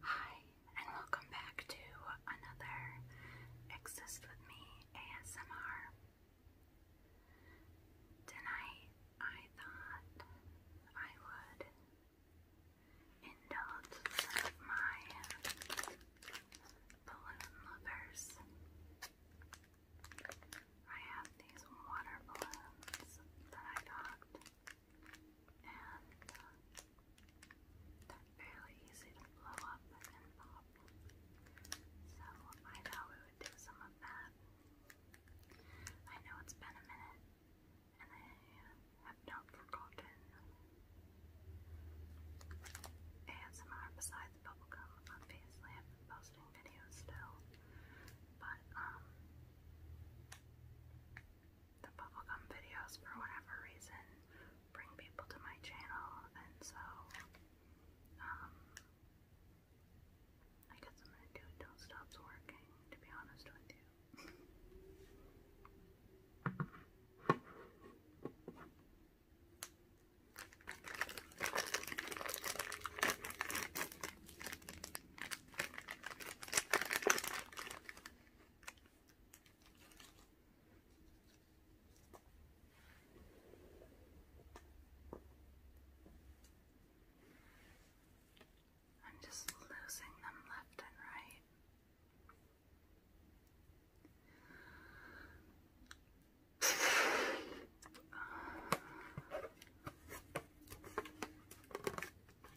Hi, and welcome back to another Exist With Me ASMR. Tonight, I thought I would indulge my balloon lovers. I have these water balloons that I got and uh, they're fairly easy to blow up and pop. So I thought we would do some of that. I know it's been a minute, and I have not forgotten ASMR besides bubblegum. Obviously, I've been posting videos still, but um the bubblegum videos for whatever reason bring people to my channel and so um, I guess I'm gonna do it till it stops working, to be honest with you. I'm just losing them left and right.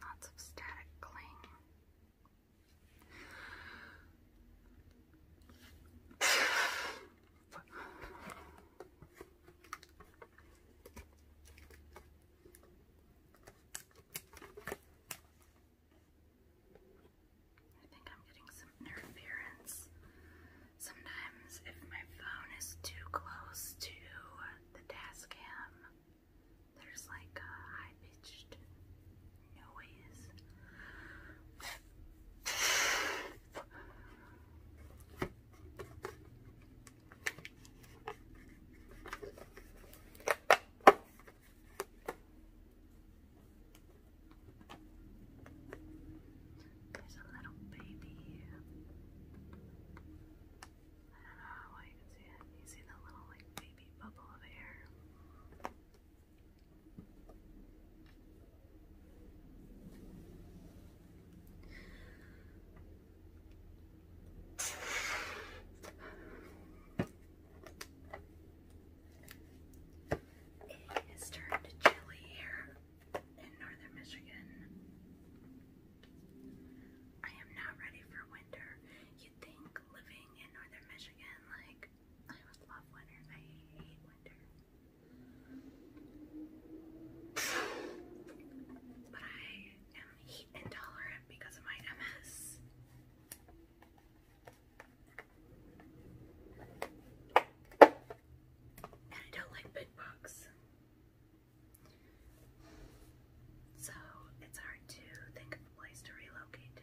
Lots of static cling. I think I'm getting some interference. Sometimes, if my phone is too close to the Tascam, there's like a high pitched noise. There's a little baby. I don't know how you can see it. You see that little like baby bubble of air. It has chilly here in northern Michigan. I am not ready for winter. You'd think living in northern Michigan, like, I would love winter. I hate winter. But I am heat intolerant because of my MS. And I don't like big so it's hard to think of a place to relocate to.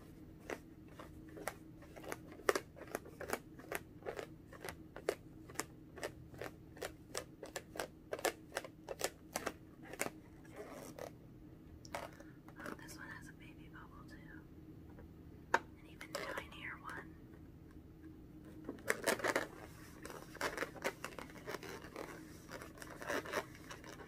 Oh, this one has a baby bubble too. An even tinier one.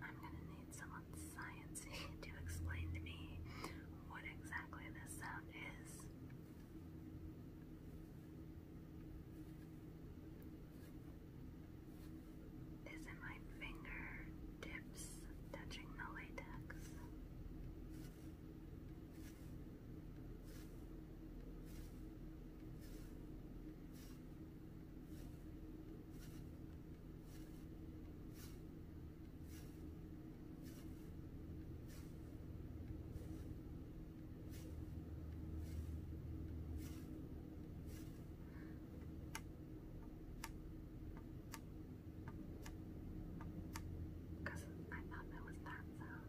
I'm gonna need someone sciencey to explain to me what exactly this sound is. Isn't my fingertips touching the latex? Because I thought was that sound.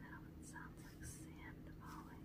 That almost sounds like sand falling.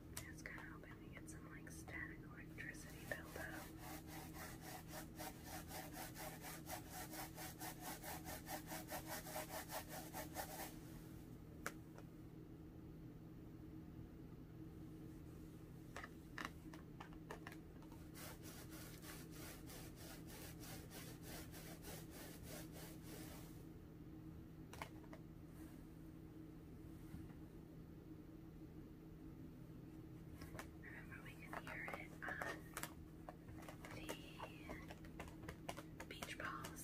I was kind of hoping get some like static electricity buildup. Remember, we can hear it on the beach balls.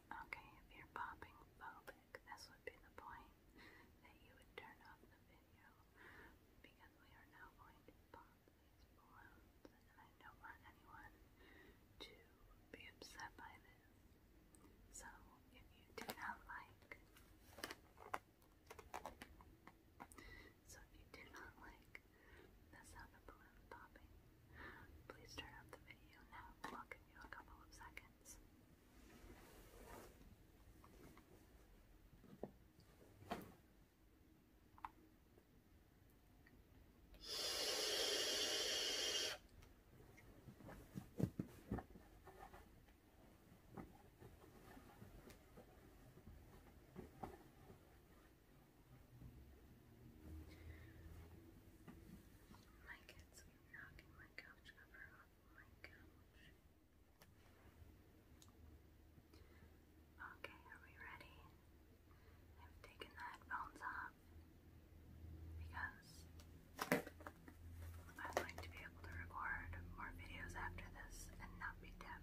Okay, if you're popping phobic, this would be the point that you would turn off the video because we are now going to pop these balloons, I don't want anyone to be upset by this. So, if you do not like, so if you do not like that's not the balloon popping. Please turn off the video now. I'll give you a couple of seconds. My kids keep knocking my couch cover off my couch. Okay, are we ready? I've taken the headphones off because I'd like to be able to record more videos after this and not be deaf.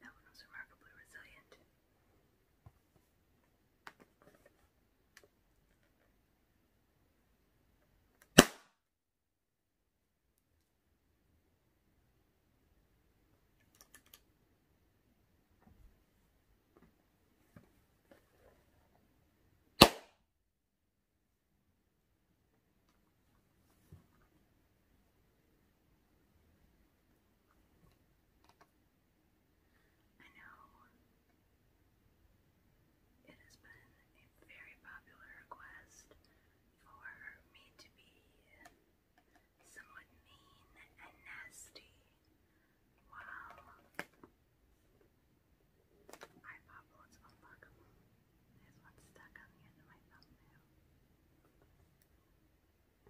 That one was remarkably resilient. I know it has been a very popular request for me to be somewhat mean and nasty while I popped on Pokemon. There's one stuck on the end of my thumbnail.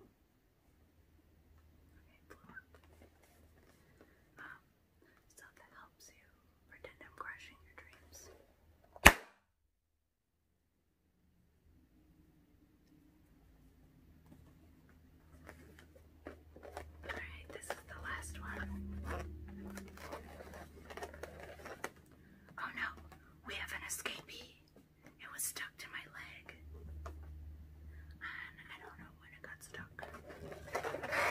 Okay, blew up. Um, that helps you pretend I'm crushing your dreams. Alright, this is the last one. Oh no, we have an escapee. It was stuck to my leg. And I don't know when it got stuck.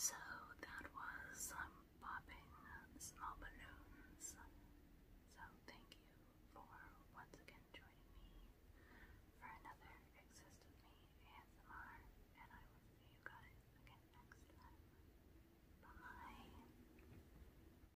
So that was um, popping small balloons. So thank you for once again joining me for another Exist With Me ASMR, and I will see you guys again next time. Bye!